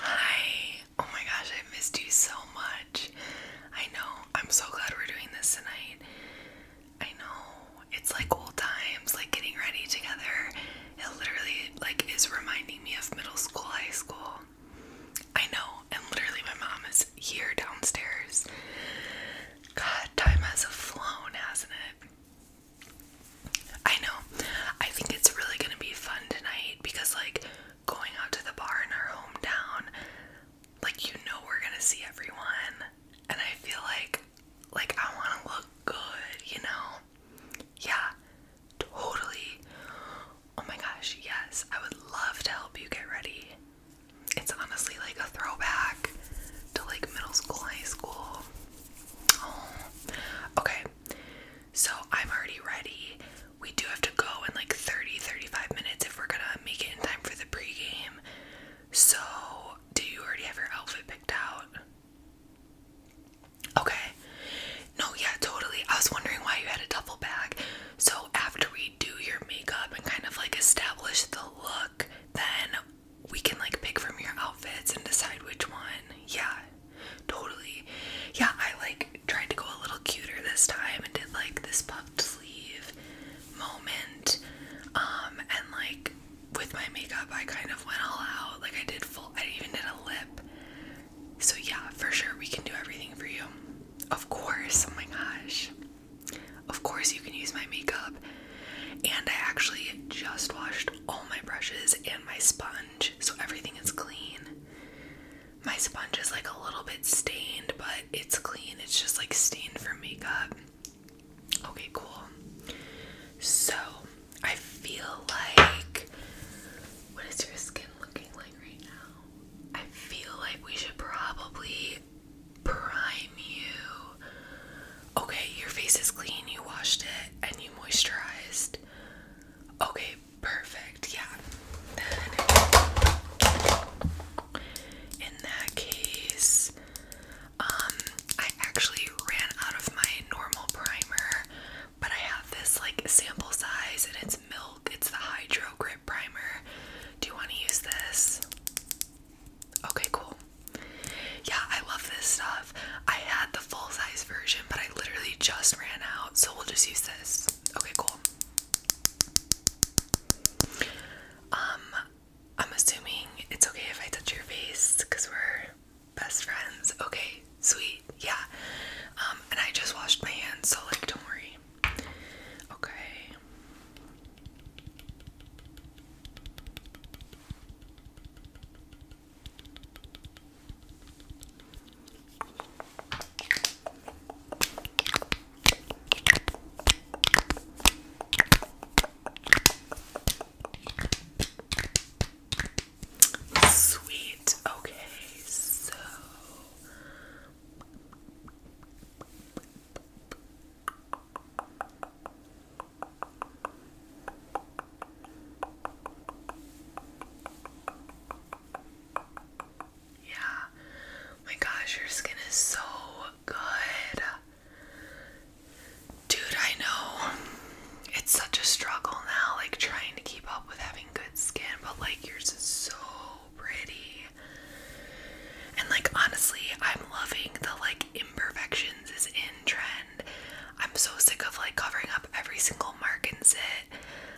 Hi. Oh my gosh, I missed you so much. I know. I'm so glad we're doing this tonight. I know. It's like old times, like getting ready together. It literally like is reminding me of middle school, high school. I know. And literally my mom is here downstairs. God, time has flown, hasn't it? I know. I think it's really gonna be fun tonight because, like, going out to the bar in our hometown, like, you know, we're gonna see everyone, and I feel like, like, I want to look good, you know? Yeah, totally. Oh my gosh, yes, I would love to help you get ready. It's honestly like a throwback to like middle school, high school. Oh. okay so I'm already ready. We do have to go in like 30 35 minutes if we're gonna make it in time for the pregame. So, do you already have your outfit picked out? Okay. No, yeah, totally. I was wondering why you had a duffel bag. So, after we do your makeup and kind of like establish the look, then we can like pick from your outfits and decide which one. Yeah, totally. Yeah, I like tried to go a little cuter this time and did like this puffed sleeve moment. Um, and like with my makeup, I kind of went all out. Like, I did full, I even did a lip. So, yeah, for sure, we can do everything for you. Of course, oh my gosh. Of course, you can use my makeup. And I actually just washed all my brushes and my sponge, so everything is clean. My sponge is like a little bit stained, but it's clean. It's just like stained from makeup. Okay, cool. So I feel like. What is your skin looking like right now? I feel like we should probably prime you Okay, your face is clean. You washed it and you moisturized. Okay, perfect. Yeah. Then in that case, um, I actually ran out of my normal primer, but I have this like sample size and it's milk. It's the Hydro Grip Primer. Do you want to use this? Okay, cool. Yeah, I love this stuff. I had the full size version, but I literally just ran out, so we'll just use this. Okay, cool. Um, I'm assuming it's okay if I touch your face because we're best friends. Okay, sweet. Yeah. Um, and I just washed my hands, so like, don't worry. Okay. Sweet. Okay, so yeah, my gosh, your skin is so good. Dude, I know it's such a struggle now, like trying to keep up with having good skin, but like yours is so pretty. And like honestly, I'm loving the like imperfections is in trend. I'm so sick of like covering up every single mark and zit.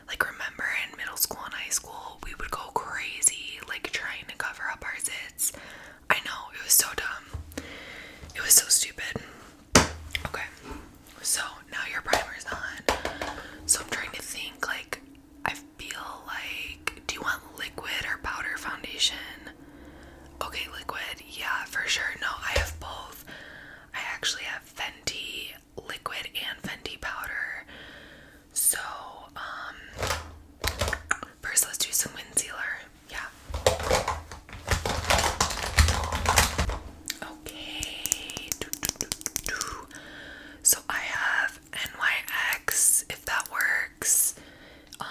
Like remember in middle school and high school, we would go crazy like trying to cover up our zits. I know, it was so dumb. It was so stupid. Okay. So, now your primer is on. So, I'm trying to think like I feel like do you want liquid or powder foundation? Okay, liquid. Yeah, for sure. No, I have both. I actually have Fenty liquid and Fenty powder. So, um, first let's do some wind sealer. Yeah. Okay. So I have NYX, if that works. Um,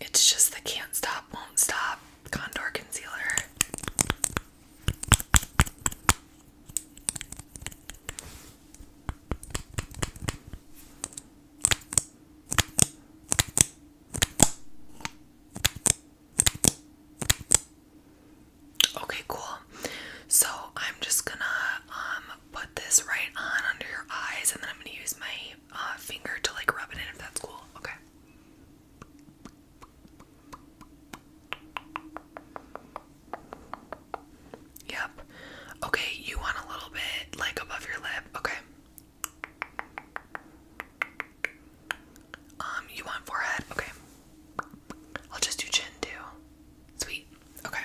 it's just the can't stop, won't stop contour concealer. Okay, cool. So I'm just gonna um put this right on under your eyes, and then I'm gonna use my uh, finger to like rub it in if that's cool. Okay. Yep. Okay, you want a little bit like above your lip. Okay. Um, you want forehead? Okay. I'll just do chin too. Sweet. Okay.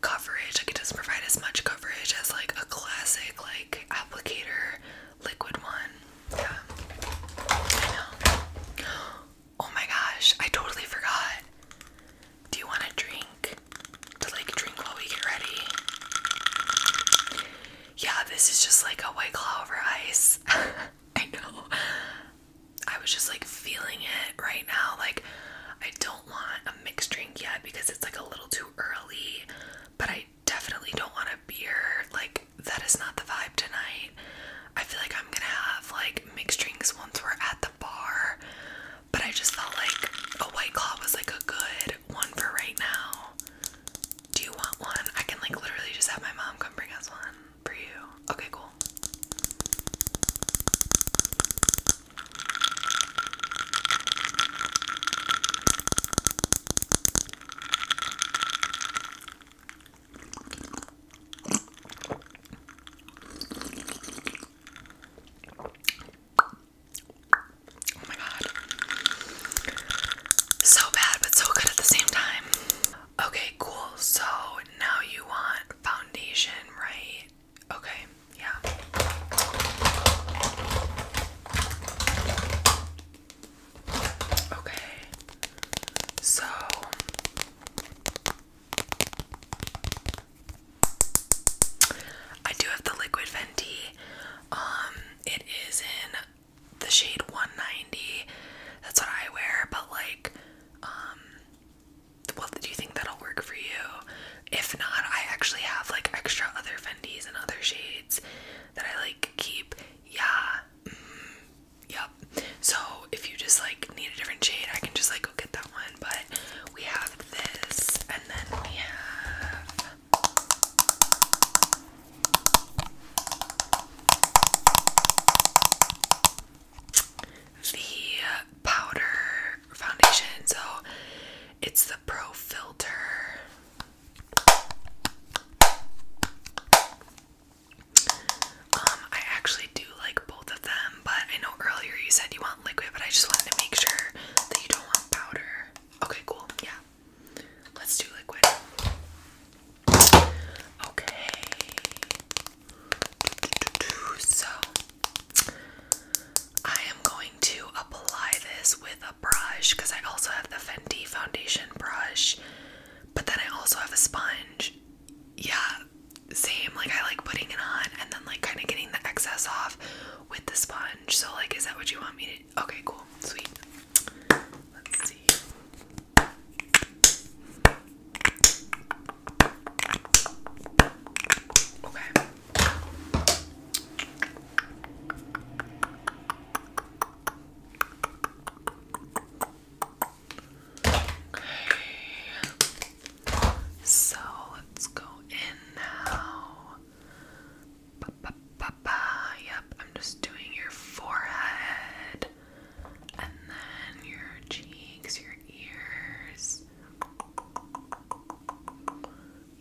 coverage like it doesn't provide as much coverage as like a classic like applicator liquid one yeah oh my gosh I totally forgot do you want a drink to like drink while we get ready yeah this is just like a white claw over ice I know I was just like feeling it right now like I don't want a mixed drink yet because it's like a little too early, but I definitely don't want a beer. Like, that is not the vibe tonight. I feel like I'm gonna have like mixed drinks once we're at the bar, but I just felt like a white claw was like a good one for right now. Do you want one? I can like literally just have my mom come bring us one for you. Okay, cool. Oh my god. So bad, but so good at the same time. Okay, cool. So now you want foundation, right? Okay, yeah. Okay, so I do have the liquid Fenty. Um, it is in the shade 190. That's what I wear, but like, um, well, do you think that'll work for you? If not, I actually have like extra other Fendi's and other shades that I like keep. Yeah. Mm. yep. So if you just like need a different shade, I can just like go get that one. But we have this, and then we have. The powder foundation. So it's the Pro Filter. Um, I actually do like both of them, but I know earlier you said you want liquid, but I just wanted to make sure that you don't want powder. Okay, cool. Yeah. Let's do liquid. Okay. So I am going to apply this with a brush because I also have the Fenty foundation brush, but then I also have a sponge. Yeah, same. Like, I like putting it on and then, like, kind of getting the excess off with the sponge. So, like, is that what you want me to? Okay, cool. Sweet. Let's see. Okay. So let's go in now. Yep, I'm just doing your forehead and then your cheeks, your ears,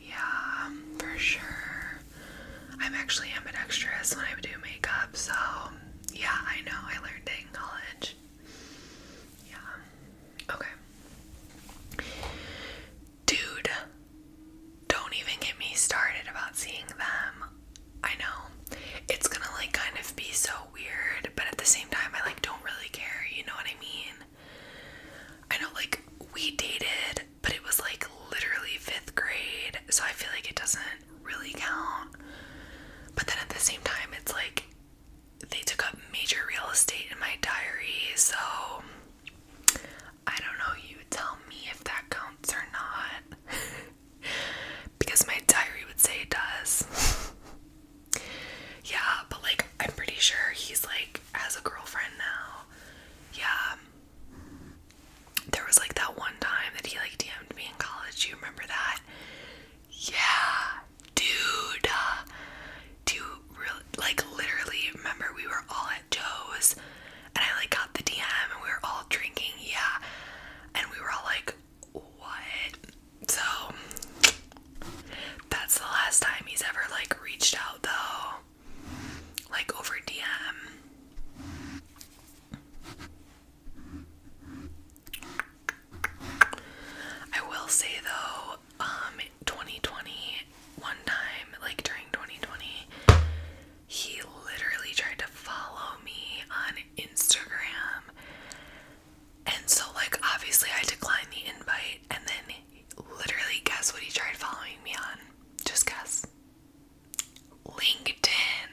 yeah, for sure. I'm actually ambidextrous when I do makeup, so yeah, I know. I learned it in college. Yeah. Okay. Dude, don't even get me started about seeing them. I know. It's gonna like kind of be so weird, but at the same time I like don't really care, you know what I mean? I know, like, we dated, but it was like literally fifth grade, so I feel like it doesn't really count. But then at the same time, it's like they took up major real estate in my diary, so I don't know. You tell me if that counts or not. because my diary would say it does. Yeah, but like I'm pretty sure he's like has a girlfriend now. Yeah. There was like that one time that he like DM'd me in college. Do you remember that? Yeah, dude. Do like literally remember we were all at Joe's and I like got the DM and we were all drinking, yeah. And we were all like, what? So that's the last time he's ever like reached out though. Like over DM. I will say though, um 2020 one time, like during 2020, he literally tried to follow me on Instagram. And so like obviously I declined the invite and then Literally, guess what he tried following me on? Just guess. LinkedIn.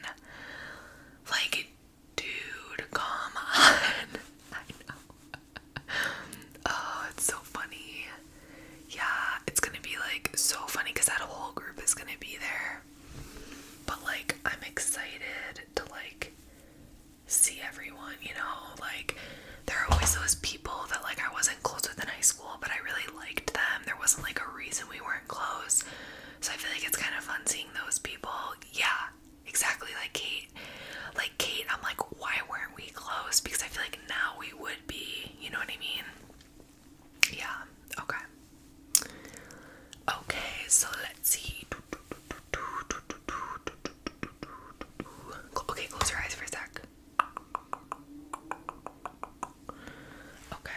Like, dude, come on. oh, it's so funny. Yeah, it's gonna be like so funny because that whole group is gonna be there. But like, I'm excited to like see everyone, you know? Like, there are always those people that, like, I wasn't close with in high school, but I really liked them. There wasn't, like, a reason we weren't close. So I feel like it's kind of fun seeing those people. Yeah, exactly like Kate. Like, Kate, I'm like, why weren't we close? Because I feel like now we would be, you know what I mean? Yeah, okay. Okay, so let's see. Okay, close your eyes for a sec. Okay.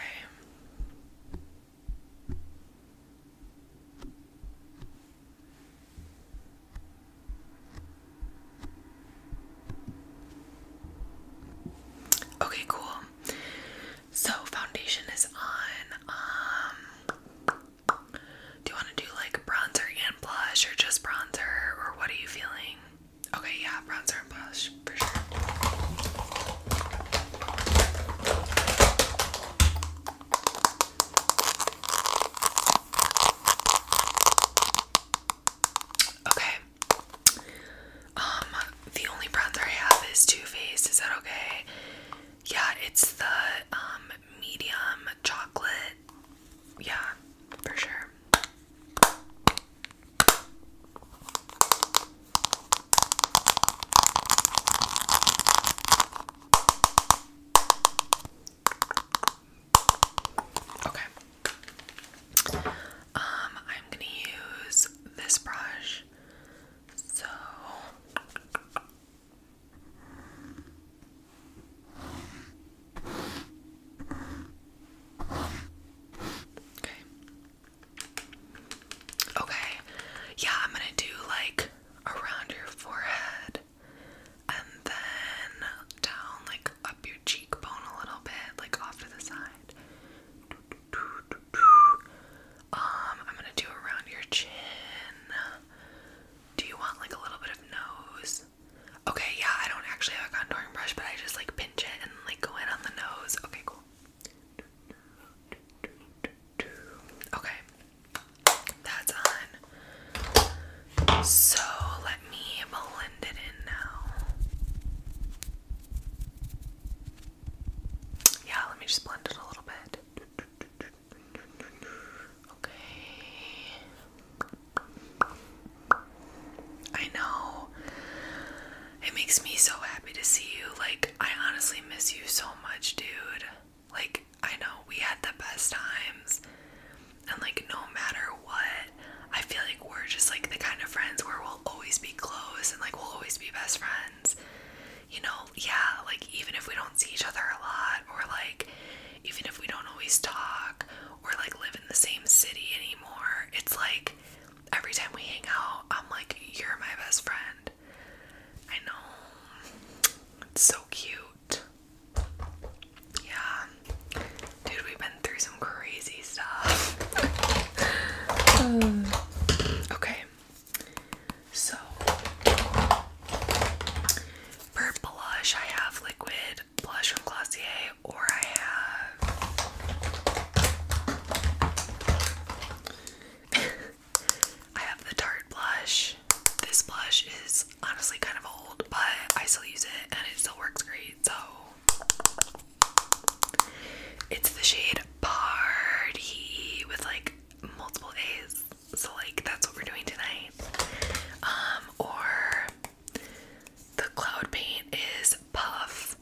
Okay, cool. So foundation is on. Um do you want to do like bronzer and blush or just bronzer or what are you feeling? Okay, yeah, bronzer and blush for sure. Okay. Um, the only bronzer I have is Too Faced. Is that okay? Yeah, it's the um medium chocolate yeah, for sure. Okay. Um, I'm gonna use this brush. So Okay. Okay. Yeah, I'm gonna do like around your forehead and then down like up your cheekbone a little bit, like off to the side. Um, I'm gonna do around your chin. Do you want like a little bit of nose? Okay, yeah, I don't actually have a contouring brush, but I just like pinch it and like go in on the nose. Okay, cool. Okay, that's on. So let me blend it in now. Yeah, let me just blend it a little bit. Okay. I know. It makes me so happy to see you. Like, I honestly miss you so much, dude. Like, I know we had the best times. And, like, no matter what, I feel like we're just like the kind of friends where we'll always be close and, like, we'll always be best friends. You know, yeah, like, even if we don't see each other a lot, or, like, even if we don't always talk or like live in the same city anymore, it's like every time we hang out, I'm like, you're my best friend. I know. It's so cute. Yeah. Dude, we've been through some crazy stuff. okay. So for blush, I have liquid blush from Glossier, or I have I have the Tarte blush. This blush is honestly kind of old, but I still use it and it still works great. So it's the shade Party with like multiple A's. So like that's what we're doing tonight. Um, or the cloud paint is puff.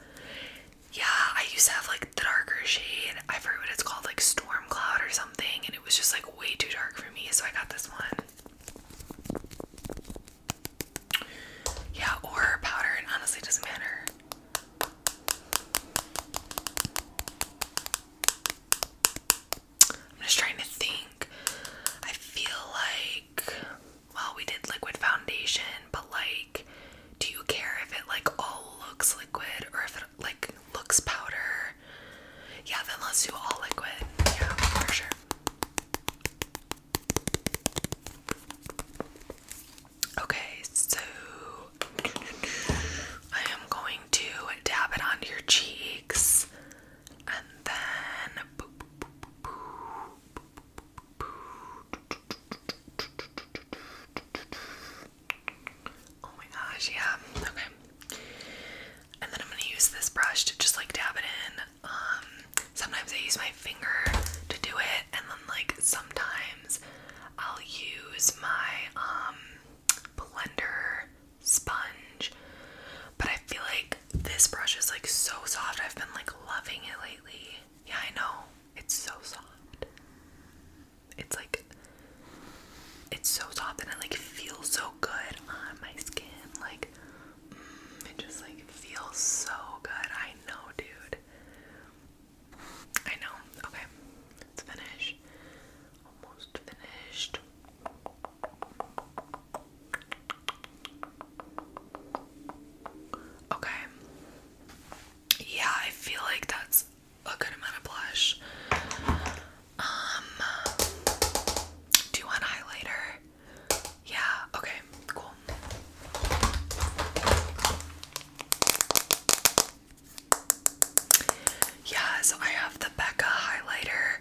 Yeah, I used to have like the darker shade. I forget what it's called, like storm cloud or something, and it was just like way too dark for me, so I got this one. Yeah, or powder, honestly doesn't matter. I'm just trying to think. I feel like well we did liquid foundation, but like do you care if it like all looks liquid or if it like looks powder? Yeah, then let's do all liquid. Yeah, for sure. Okay, so I am going to dab it onto your cheeks and then Oh my gosh, yeah. Okay. And then I'm going to use this brush to just like dab it in. Um sometimes I use my finger to do it and then like sometimes I'll use my um blender sponge. But I feel like this brush is like so soft. I've been like loving it lately. Yeah, I know. It's so soft. It's like it's so soft and it like feels so good on my skin. Like mm, it just like feels so good. I know, dude. I know. Okay. Let's finish almost finished. Okay. Yeah, I feel like that's a good amount of blush. Um, do you want highlighter? Yeah, okay, cool. Yeah, so I have the Becca highlighter,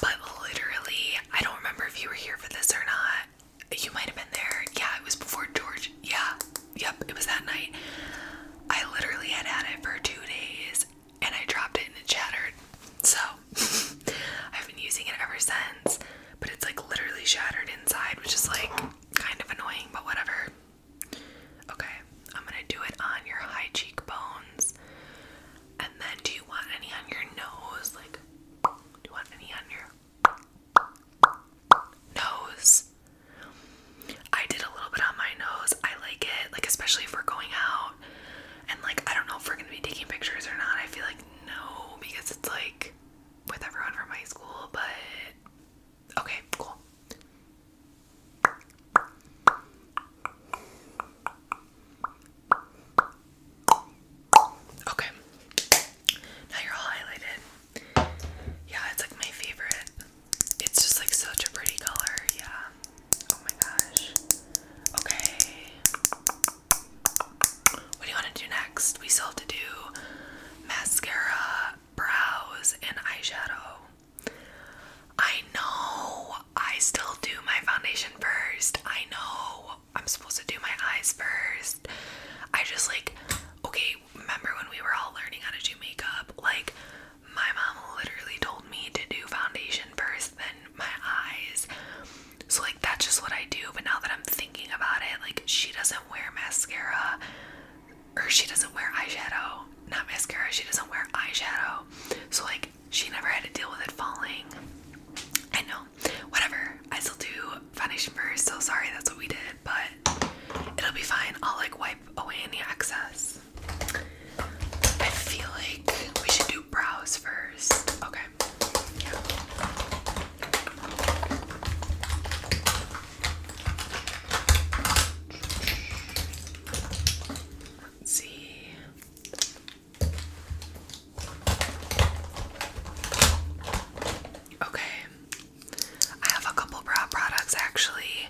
but literally, I don't remember if you were here for this or not. You might have been there. Yeah, it was before George. Yeah, yep, it was that night. I literally had had it for two days and I dropped it and it shattered. So I've been using it ever since, but it's like literally shattered inside, which is like kind of annoying, but whatever. Okay, I'm gonna do it on your high cheekbones. And then do you want any on your nose? Like, do you want any on your nose? I did a little bit on my nose. I like it, like, especially if we're going out. And, like, I don't know if we're gonna be taking pictures or not. I feel like no, because it's like with everyone from high school, but Okay, cool. Okay. Now you're all highlighted. Yeah, it's like my favorite. It's just like such a pretty color. Yeah. Oh my gosh. Okay. What do you want to do next? We still have to do mascara, brows, and eyeshadow. I know I still do my foundation first. I know I'm supposed to do my eyes first. I just like, okay, remember when we were all learning how to do makeup? Like, my mom literally told me to do foundation first, then my eyes. So, like, that's just what I do. But now that I'm thinking about it, like, she doesn't wear mascara or she doesn't wear eyeshadow, not mascara, she doesn't wear eyeshadow. So, like, she never had to deal with it falling. I know, whatever. I still do foundation first, so sorry that's what we did, but it'll be fine. I'll like wipe away any excess. I feel like we should do brows first. Okay. Yeah. Let's see. Okay. I have a couple brow products actually.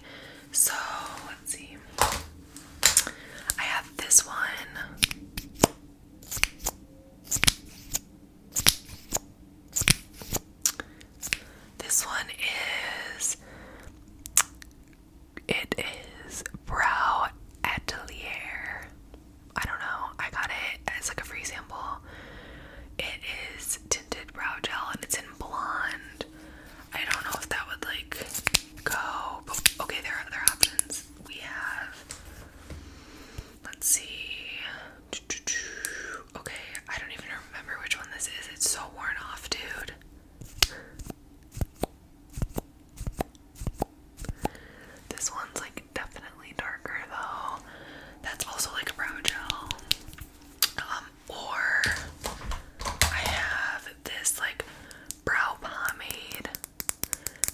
So, let's see. I have this one. This one is it is Brow Atelier. I don't know. I got it as like a free sample. It is tinted brow gel and it's in blonde. I don't know if that would like go. okay, there are other options. We have let's see. Okay, I don't even remember which one this is. It's so worn off, dude. This one's like definitely darker though. That's also like a brow gel. Um, or I have this like brow pomade,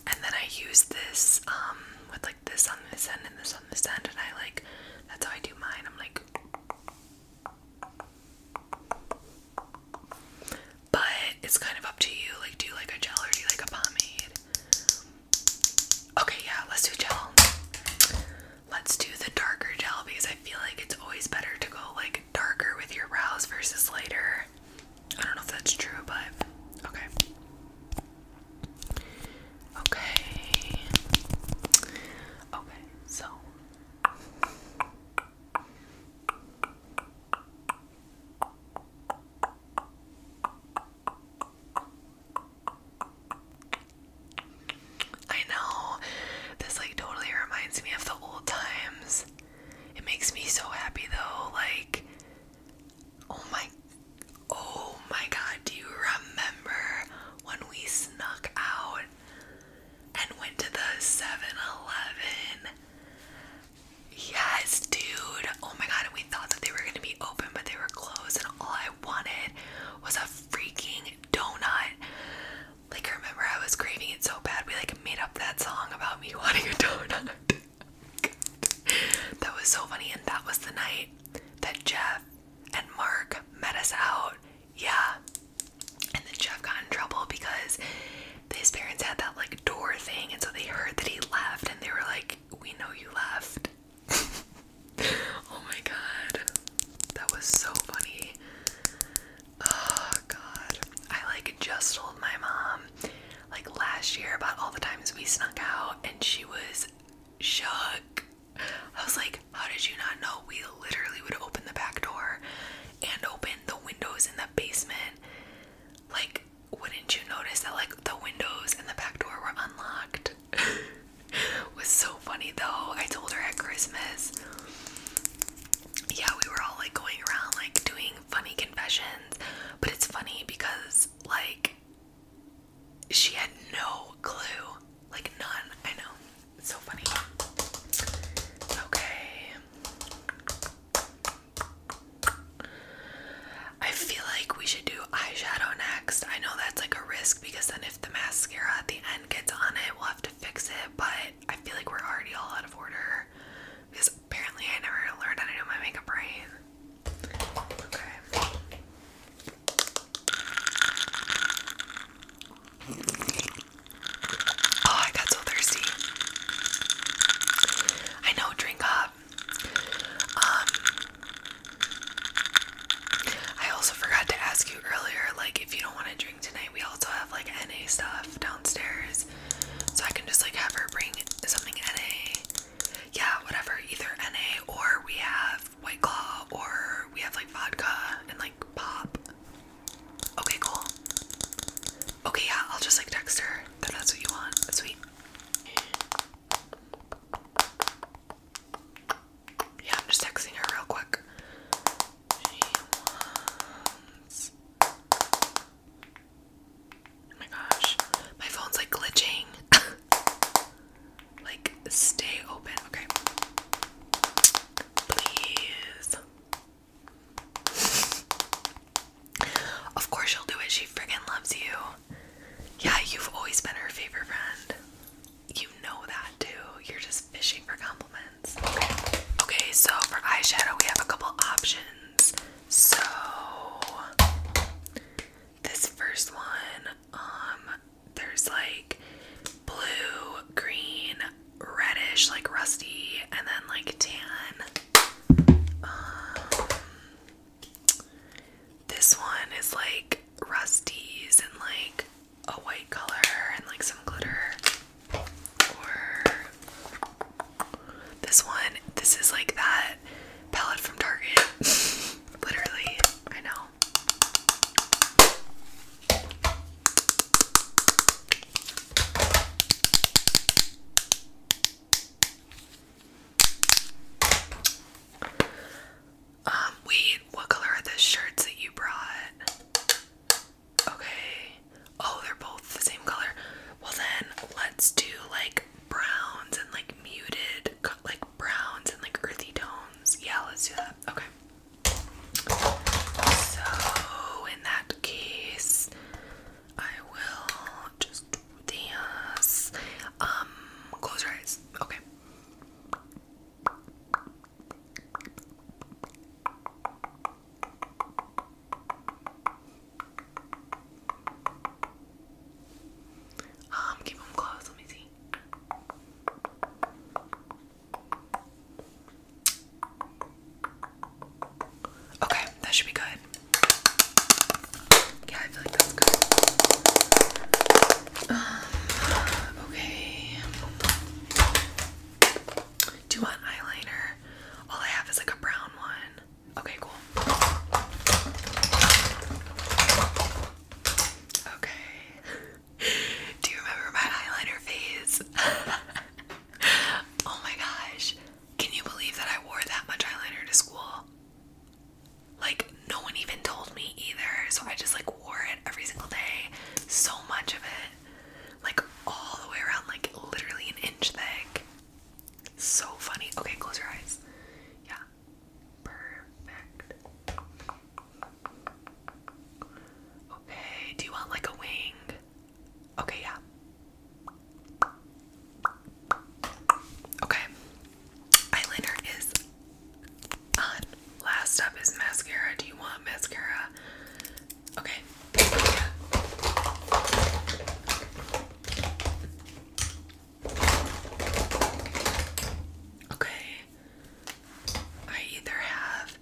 and then I use this um, with like this on this end and this on this end, and I like that's how I do mine. I'm like but it's kind of up to you. Like, do like a gel or do like a pomade? Okay, yeah, let's do gel. Let's do the darker gel because I feel like it's always better to go like darker with your brows versus lighter. I don't know if that's true, but okay. Okay. Okay, so I know this like totally reminds me of the old times. It makes me so happy though. Like, oh my, oh my god, do you remember when we snuck out and went to the 7-Eleven. Yes, dude. Oh my god, we thought that they were gonna be open, but they were closed, and all I wanted was a freaking donut. Like, remember, I was craving it so bad, we like made up that song about me wanting a donut. that was so funny, and that was the night that Jeff and Mark met us out yeah. And then Jeff got in trouble because his parents had that like door thing, and so they heard that he left, and they were like, "We know you left." oh my god, that was so funny. Oh god, I like just told my mom like last year about all the times we snuck out, and she was shook. I was like, how did you not know? We literally would open the back door and open the windows in the basement. Like, wouldn't you notice that like the windows and the back door were unlocked? it was so funny though. I told her at Christmas. Yeah, we were all like going around like doing funny confessions, but it's funny because like she had no clue. Like none, I know. It's so funny. Okay. I feel like we should do eyeshadow next. I know that's like a risk because then if the mascara at the end gets on it, we'll have to fix it, but I feel like we're already all out of order because apparently I never learned how to do my makeup right. Okay. Oh, I got so thirsty. I know, drink up. Um, I also forgot to ask you earlier, like, if you don't want to drink tonight, we also have like NA stuff downstairs, so I can just like have her bring something NA. Yeah, whatever, either NA or we have White Claw or we have like vodka and like pop. Okay, cool. Okay, yeah, I'll just like text her that's what you want. Sweet. Yeah, I'm just texting her real quick. Oh my gosh, my phone's like glitching. Like, stay open, okay? Please. Of course, she'll do it. She friggin' loves you. Yeah, you've always been her favorite friend. You know that too. You're just fishing for compliments. Okay, so for eyeshadow, we have a couple options. So, this first one, um, there's like blue, green, reddish, like rusty, and then like tan. Um, this one is like rusties and like a white color and like some glitter. Or this one, this is like that palette from Target. Literally, I know. Um, wait, what color are the shirts that you brought? Okay. Oh, they're both the same color. Well, then let's do like browns and like muted, like browns and like earthy tones. Yeah, let's do that. Okay. So in that case, I will just dance. Um, close your eyes. Okay. Um, keep them closed. Let me see. Okay, that should be good. Yeah, I feel like that's good. okay. Do you want eyeliner? All I have is like a brown one. Okay, cool. Okay. Do you remember my eyeliner phase? oh my gosh. Can you believe that I wore that much eyeliner to school? Like, no one even told me either. So I just like wore it every single day. So much of it. Like, all the way around, like, literally an inch thick. So funny. Okay, close your eyes. Yeah. Perfect. Okay, do you want like a wing? Okay, yeah. Okay, eyeliner is on. Last up is mascara. Do you want mascara? Okay. Okay. I either have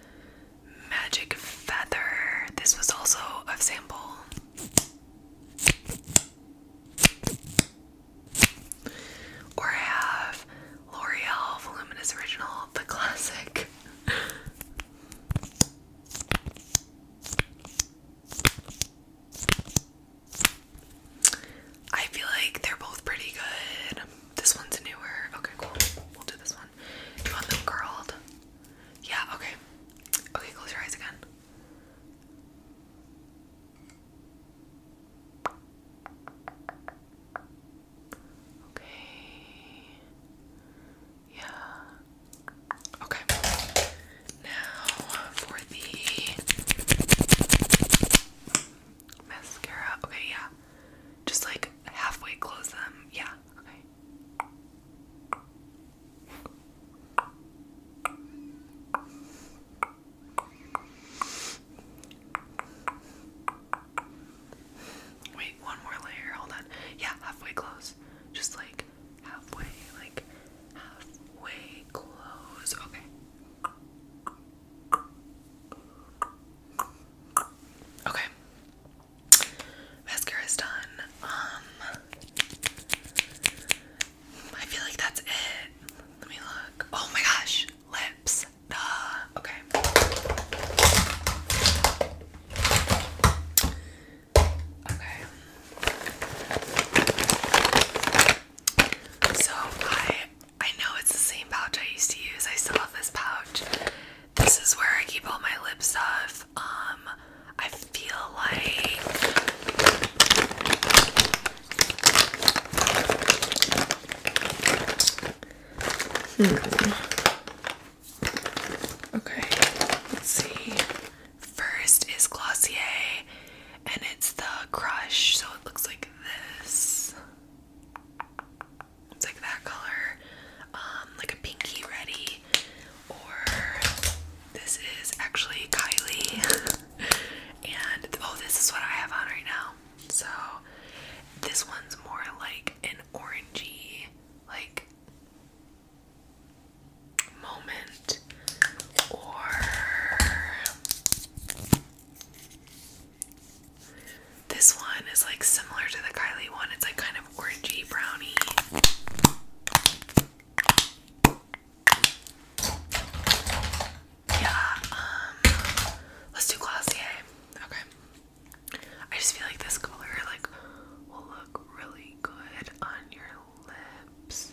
Magic Feather. This was also a sample. Or I have L'Oreal Voluminous Original, the classic. I feel like they're both pretty good. This one's newer. Okay, cool. We'll do this one. you want them curled? Yeah, okay. Okay, close your eyes again. Okay. Yeah. Okay. Now for the Mascara. Okay, yeah. Just like halfway close them. Yeah, okay. Wait, one more layer. Hold on. Yeah, halfway close. Just like halfway, like halfway close. Okay. Okay. Mascara is done. Um I feel like that's it. Let me look. Oh my gosh. Lips. Duh. Okay. Okay. So I I know it's the same pouch I used to use. I still have this pouch. This is where I keep all my lip stuff. Um, I feel like hmm, Okay, let's see. First is Glossier and it's the Crush, so it looks like this. It's like that color, um, like a pinky ready, or this is actually Kylie. and oh, this is what I have on right now. So this one's more like an orangey, like moment, or this one is like similar to the Kylie one. It's like kind of orangey brownie. Yeah, um, let's do Glossier. Eh? Okay. I just feel like this color like will look really good on your lips.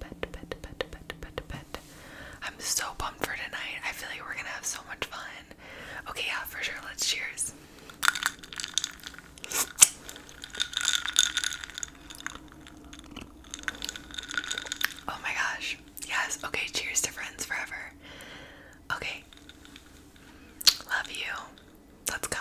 pet, pet, pet, pet, pet, pet. I'm so pumped for tonight. I feel like we're gonna have so much fun. Okay, yeah, for sure. Let's cheers. Oh my gosh. Yes. Okay, cheers to friends forever. Okay. Love you. Let's go.